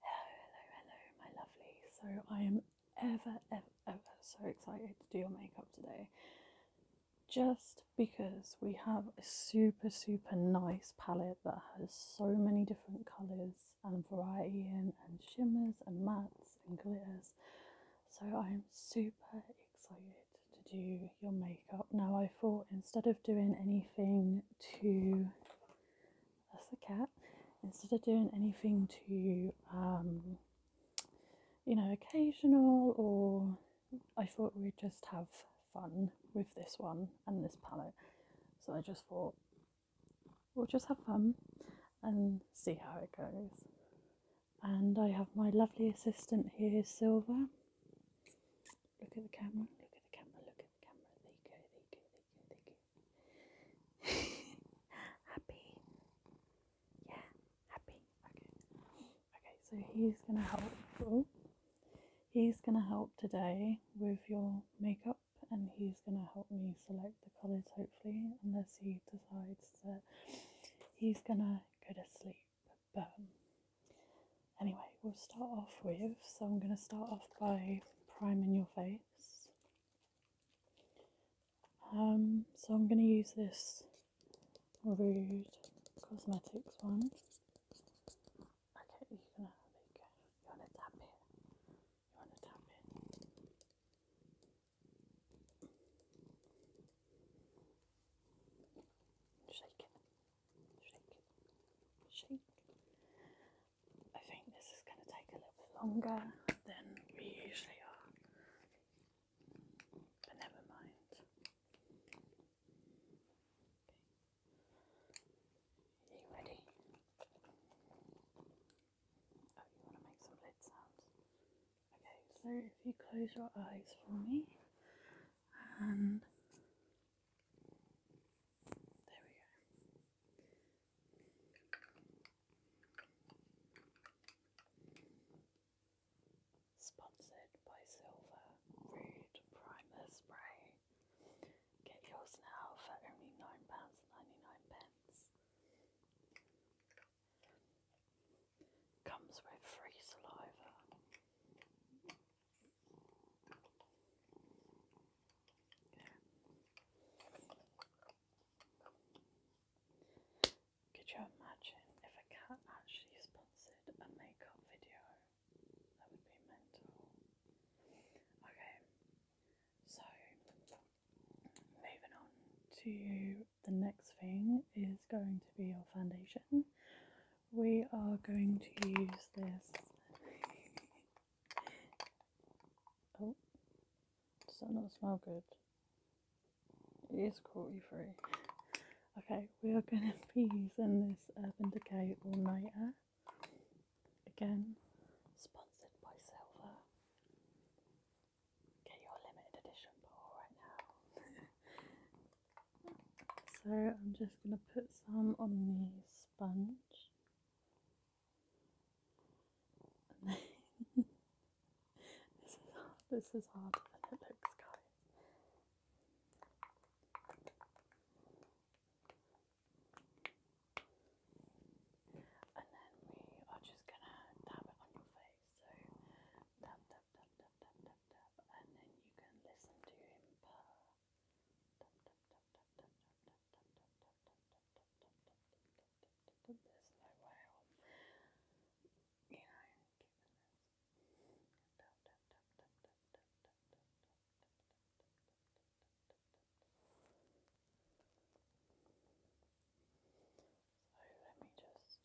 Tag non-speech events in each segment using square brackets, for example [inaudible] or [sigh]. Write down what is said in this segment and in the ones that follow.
Hello, hello, hello, my lovely. So I am ever, ever, ever so excited to do your makeup today. Just because we have a super, super nice palette that has so many different colours and variety in, and shimmers and mattes and glitters. So I am super excited to do your makeup. Now I thought instead of doing anything to that's the cat instead of doing anything too um, you know occasional or I thought we'd just have fun with this one and this palette so I just thought we'll just have fun and see how it goes and I have my lovely assistant here Silver look at the camera look at the camera look at the camera there you happy? Yeah, happy. Okay. Okay, so he's gonna help. Ooh. He's gonna help today with your makeup and he's gonna help me select the colours hopefully, unless he decides that he's gonna go to sleep. But Anyway, we'll start off with, so I'm going to start off by priming your face. Um, so I'm going to use this Rude Cosmetics one. Okay, you're going to, tap it, you want to tap it. Shake it. Shake. Shake. I think this is going to take a little longer than we usually are, but never mind. you ready? Oh, you want to make some lid sounds? Okay, so if you close your eyes for me and there we go. Sponsored by Silver Rude Primer Spray. Get yours now for only £9.99. Comes with free saliva. Could you imagine if a cat actually sponsored a makeup video? That would be mental. Okay, so moving on to the next thing is going to be your foundation we are going to use this. oh, does that not smell good? It is cruelty free. Okay, we are going [laughs] to be using this Urban Decay All Nighter. Again, sponsored by Silver. Get your limited edition bottle right now. [laughs] So I'm just going to put some on the sponge. [laughs] this is hard. This is harder than it looks, guys. And then we are just gonna dab it on your face. So dab, dab, dab, dab, dab, dab, dab, and then you can listen to him purr. There's no way i you So let me just.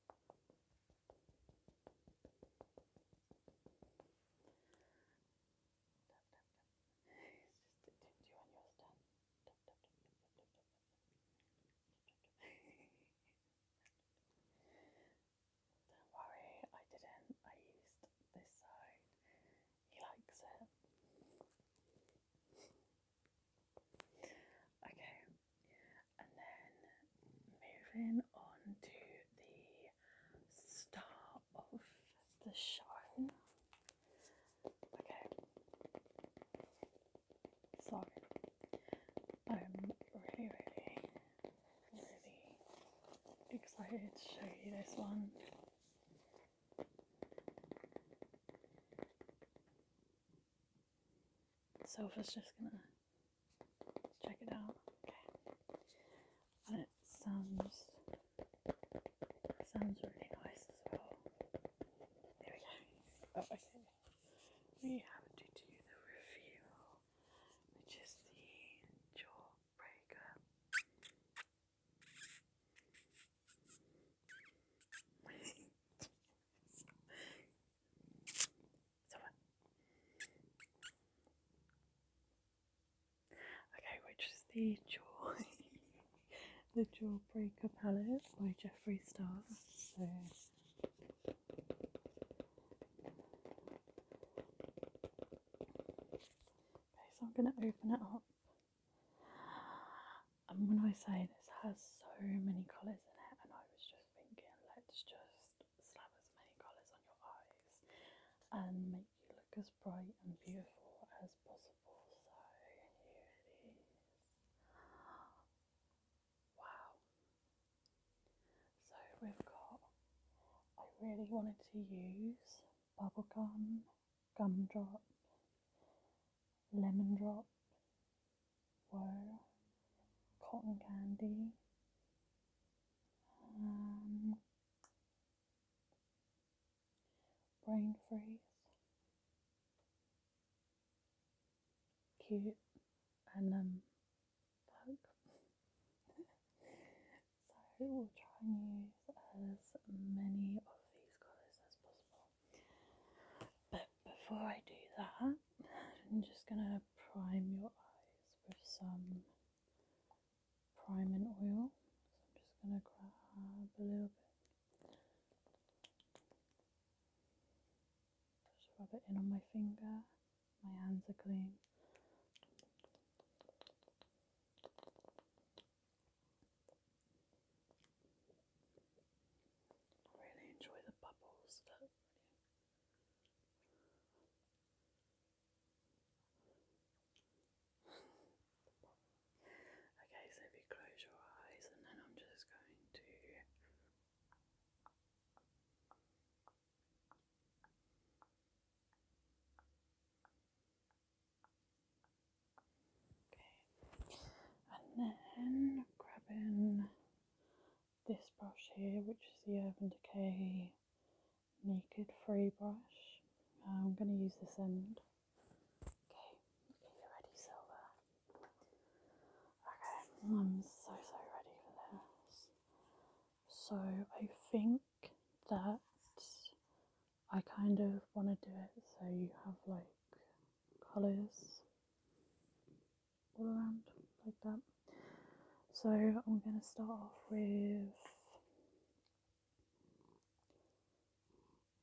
Don't worry, I didn't. I used this side. He likes it. [laughs] okay, and then moving on to the star of the show. Okay. So I'm um, really, really, really excited to show you this one. Sophia's just gonna check it out. Okay. And it sounds sounds really nice as well. There we go. Oh, okay. We have to do the review, which the jawbreaker. [laughs] Okay, which is the jaw, [laughs] the Jawbreaker palette by Jeffree Star. So so I'm gonna open it up. And when I say this has so many colours in it, and I was just thinking, let's just slap as many colours on your eyes and make you look as bright and beautiful as possible. So here it is. Wow. So we've got, I really wanted to use bubble gum, gumdrop, lemon drop, were cotton candy, um, brain freeze, cute, and um, [laughs] so we'll try and use as many of these colours as possible. But before I do that, I'm just going to prime your eyes with some priming oil. So I'm just going to grab a little bit. Just rub it in on my finger. My hands are clean really enjoy the bubbles [laughs] okay, so if you close your eyes, and then I'm just going to okay, and then grabbing this brush here, which is the Urban Decay Naked Free Brush. Uh, I'm going to use this end. Okay, okay, you ready, Silver? Okay, I'm so, so ready for this. So I think that I kind of want to do it so you have like colours all around like that. So I'm going to start off with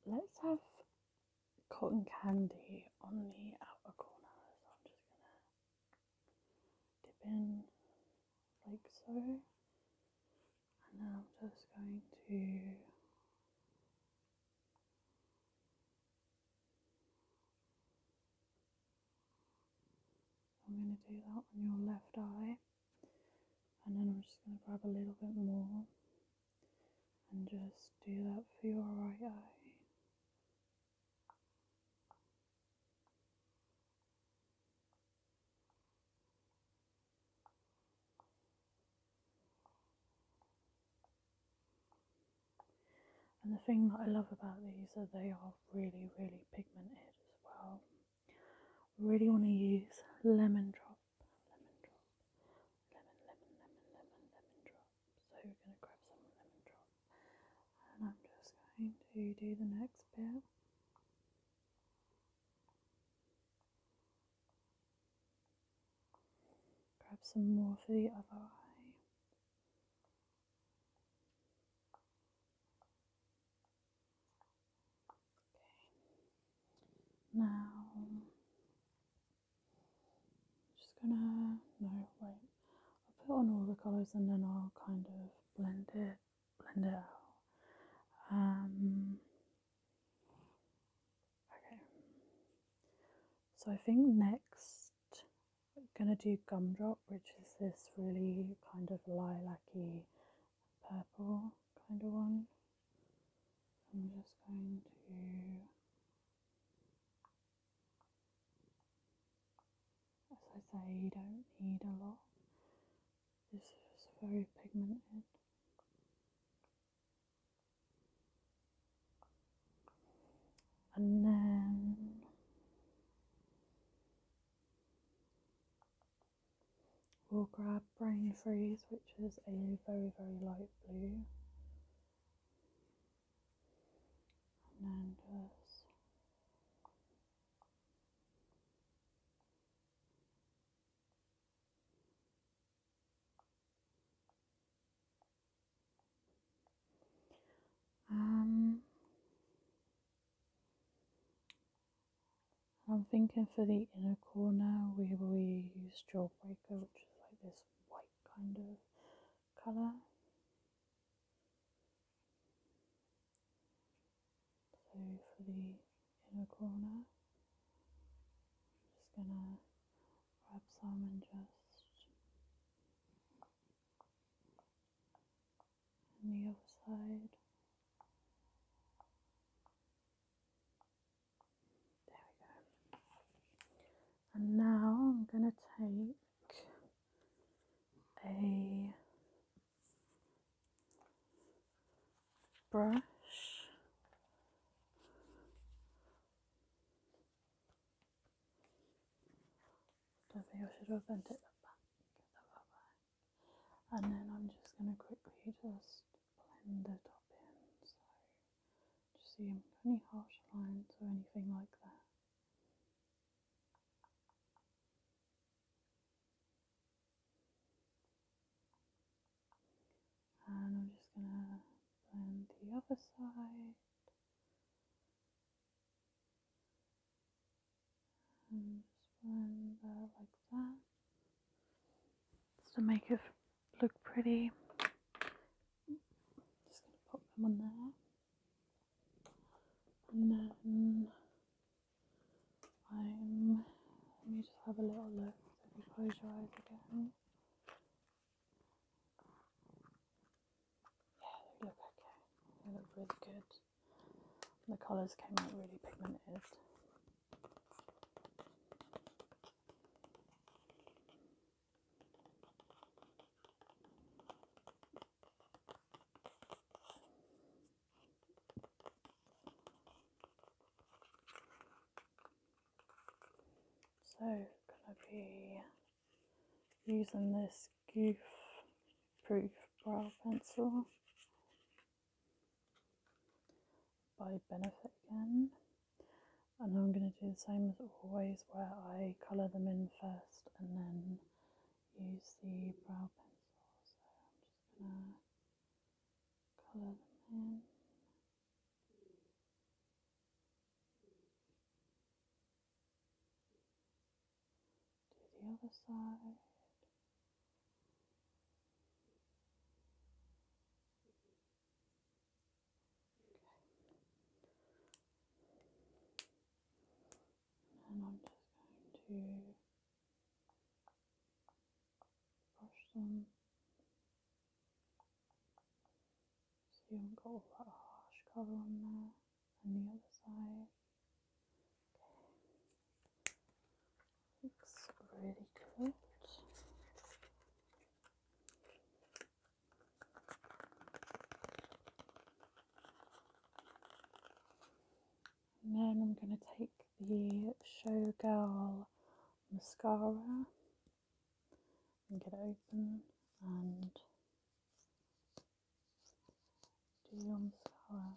let's have cotton candy on the outer corners. So I'm just going to dip in like so. And then I'm just going to I'm going to do that on your left eye, and then I'm just going to grab a little bit more and just do that for your right eye. And the thing that I love about these is they are really, really pigmented as well. Really want to use lemon drop, lemon lemon, lemon, lemon, lemon, drop. So we're going to grab some lemon drop, and I'm just going to do the next bit. Grab some more for the other eye. Okay. Now, I'm just gonna, no, wait, I'll put on all the colours and then I'll kind of blend it, blend it out. Um, Okay. So I think next I'm gonna do gumdrop, which is this really kind of lilac-y purple kind of one. I'm just going to as I say, you don't need a lot. This is very pigmented and then we'll grab brain freeze which is a very very light blue and then just um, I'm thinking for the inner corner we will use Jawbreaker, which is like this white kind of colour. So for the in a corner. I'm just gonna grab some and just on the other side. There we go. And now I'm gonna take a brush. I think I should have bent it back and then I'm just going to quickly just blend the top in so just so you have any harsh lines or anything like that. And I'm just going to blend the other side. And just blend that like that. Just to make it look pretty. Just going to pop them on there. And then let me just have a little look. if you close your eyes again. Yeah, they look okay. They look really good. The colours came out really pigmented. So, gonna be using this goof proof brow pencil by Benefit again. And I'm going to do the same as always where I colour them in first and then use the brow pencil. So I'm just going to Color them in. Do the other side. Okay. And I'm just going to brush them so you haven't got lot of harsh colour on there and the other side. Looks really good. And then I'm going to take the Showgirl mascara and get it open and do your mascara.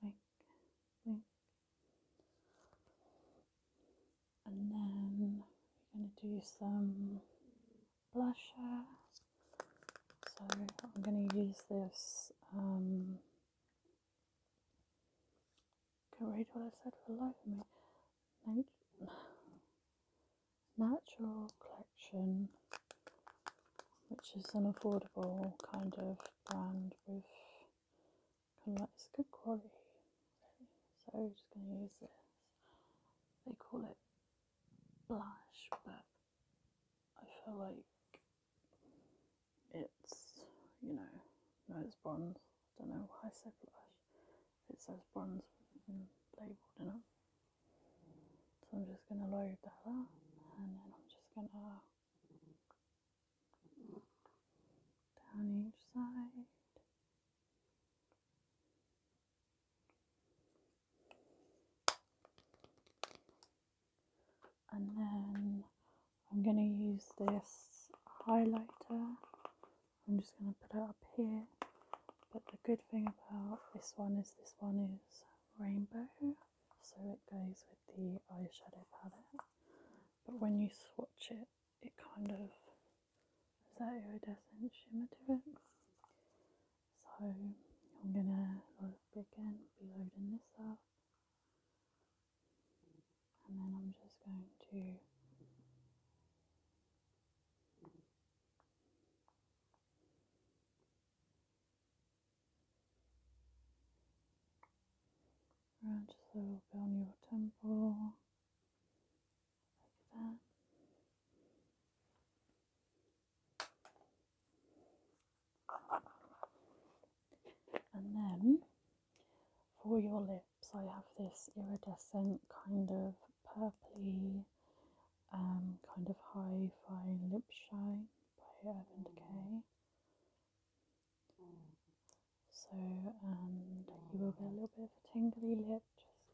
blink, blink. And then we're going to do some blusher. So I'm going to use this. Um, can't read what I said for the life of me. Natural Collection, which is an affordable kind of brand with kind of like, it's good quality. So I'm just going to use this. They call it blush, but I feel like it's, you know, no, it's bronze. I don't know why I said blush. It says bronze labelled in it. So I'm just going to load that up and then I'm just going to down each side. And then I'm going to use this highlighter. I'm just going to put it up here. But the good thing about this one is this one is rainbow so it goes with the eyeshadow palette. But when you swatch it, it kind of is that iridescent shimmer to it. So I'm gonna again be loading this up, and then I'm just going to. Right, just a little bit on your temple, And then for your lips, I have this iridescent kind of purply um, kind of high fine lip shine by Urban Decay. So, and um, you will get a oh. little bit of a tingly lip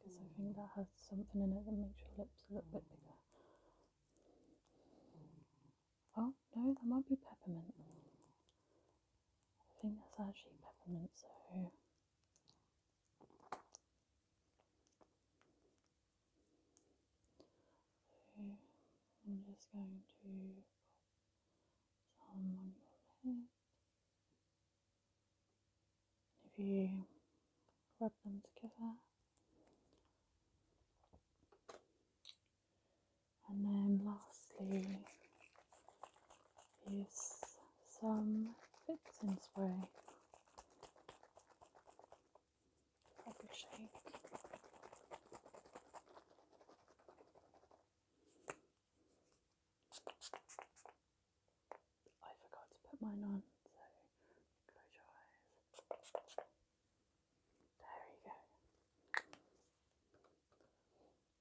just because I think mm. that has something in it that makes your lips a little bit mm. bigger. Oh, no, that might be peppermint. I think that's actually peppermint, so. I'm just going to pop some on your head. If you rub them together, and then lastly is some fixing spray. I forgot to put mine on, so close your eyes. There you go.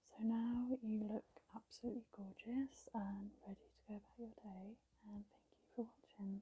So now you look absolutely gorgeous and ready to go about your day, and thank you for watching.